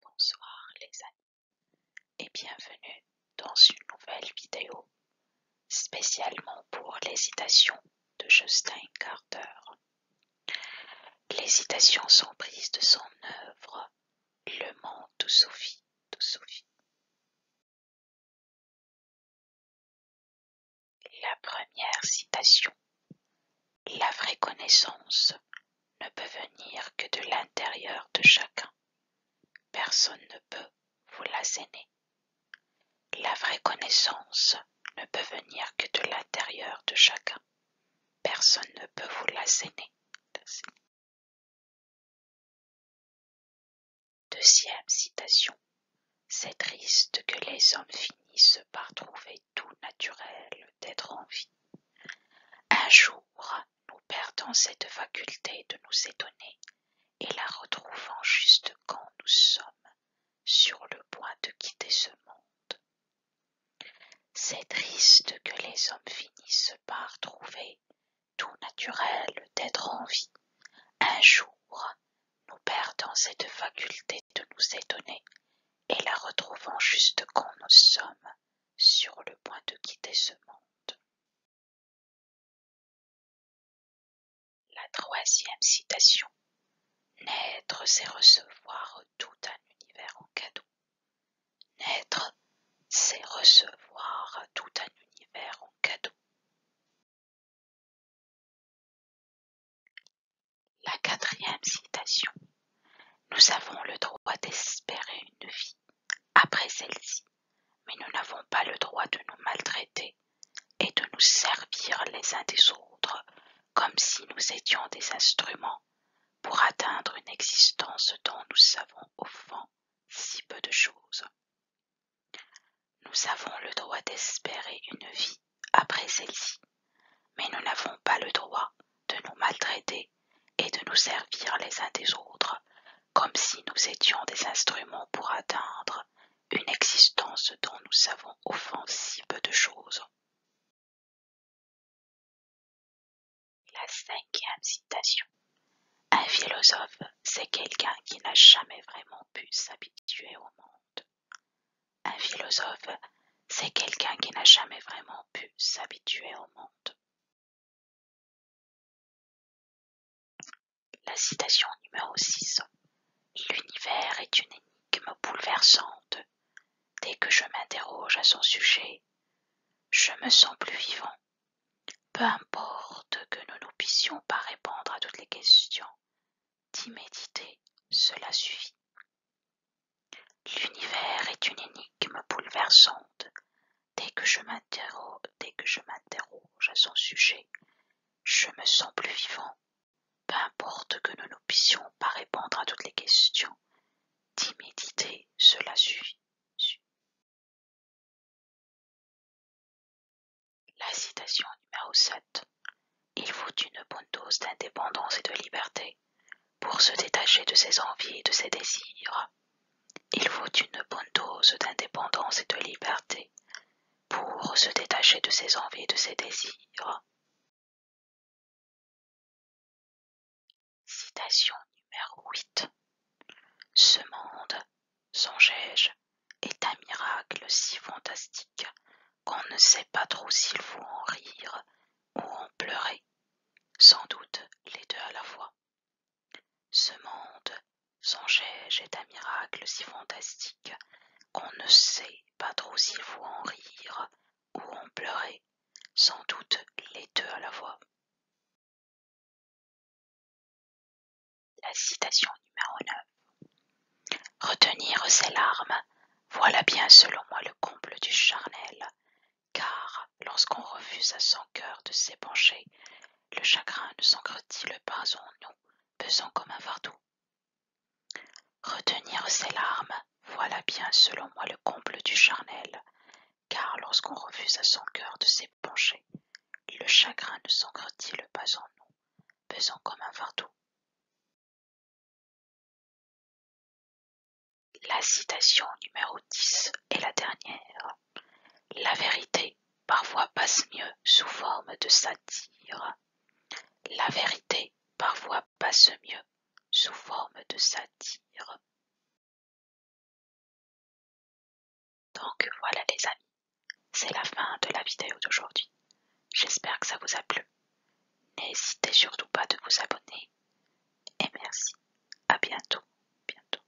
Bonsoir les amis et bienvenue dans une nouvelle vidéo spécialement pour les citations de Justin Carter. Les citations sont prises de son œuvre Le Mans de Sophie de Sophie. La première citation, la vraie connaissance, ne peut venir que de l'intérieur de chacun. Personne ne peut vous la l'asséner. La vraie connaissance ne peut venir que de l'intérieur de chacun. Personne ne peut vous la l'asséner. Deuxième citation: C'est triste que les hommes finissent par trouver tout naturel d'être en vie. Un jour, nous perdons cette faculté de nous étonner et la retrouvons juste quand nous sommes sur le point de quitter ce monde. C'est triste que les hommes finissent par trouver tout naturel d'être en vie, un jour nous perdons cette faculté de nous étonner et la retrouvons juste quand nous sommes sur le point de quitter ce monde. La troisième citation Naître, c'est recevoir tout un univers en cadeau. Naître, c'est recevoir tout un univers en cadeau. La quatrième citation. Nous avons le droit d'espérer une vie après celle-ci, mais nous n'avons pas le droit de nous maltraiter et de nous servir les uns des autres comme si nous étions des instruments pour atteindre une existence dont nous savons au si peu de choses. Nous avons le droit d'espérer une vie après celle-ci, mais nous n'avons pas le droit de nous maltraiter et de nous servir les uns des autres comme si nous étions des instruments pour atteindre une existence dont nous savons au si peu de choses. La cinquième citation: Un philosophe, c'est quelqu'un qui n'a jamais vraiment pu s'habituer au monde. Un philosophe, c'est quelqu'un qui n'a jamais vraiment pu s'habituer au monde. La citation numéro 6. L'univers est une énigme bouleversante. Dès que je m'interroge à son sujet, je me sens plus vivant. Peu importe que nous ne puissions pas répondre à toutes les questions, d'y méditer, cela suffit. L'univers est une énigme bouleversante. Dès que je m'interroge, dès que je m'interroge à son sujet, je me sens plus vivant. Peu importe que nous ne puissions pas répondre à toutes les questions, Timidité Cela suffit. La citation numéro sept. Il faut une bonne dose d'indépendance et de liberté pour se détacher de ses envies et de ses désirs. Il faut une bonne dose d'indépendance et de liberté pour se détacher de ses envies et de ses désirs. Citation numéro huit Ce monde, songeai-je, est un miracle si fantastique qu'on ne sait pas trop s'il faut en rire ou en pleurer, sans doute les deux à la fois. Ce monde, songeai-je, est un miracle si fantastique qu'on ne sait pas trop s'il faut en rire ou en pleurer, sans doute les deux à la voix. La citation numéro 9. Retenir ses larmes, voilà bien selon moi le comble du charnel, car lorsqu'on refuse à son cœur de s'épancher, le chagrin ne le pas en nous, pesant comme un fardeau, Retenir ses larmes, voilà bien selon moi le comble du charnel, car lorsqu'on refuse à son cœur de s'épancher, le chagrin ne sancre t pas en nous, pesant comme un fardeau La citation numéro dix est la dernière. La vérité parfois passe mieux sous forme de satire. La vérité parfois passe mieux sous forme de satire. Donc voilà les amis, c'est la fin de la vidéo d'aujourd'hui. J'espère que ça vous a plu. N'hésitez surtout pas de vous abonner. Et merci. À bientôt. Bientôt.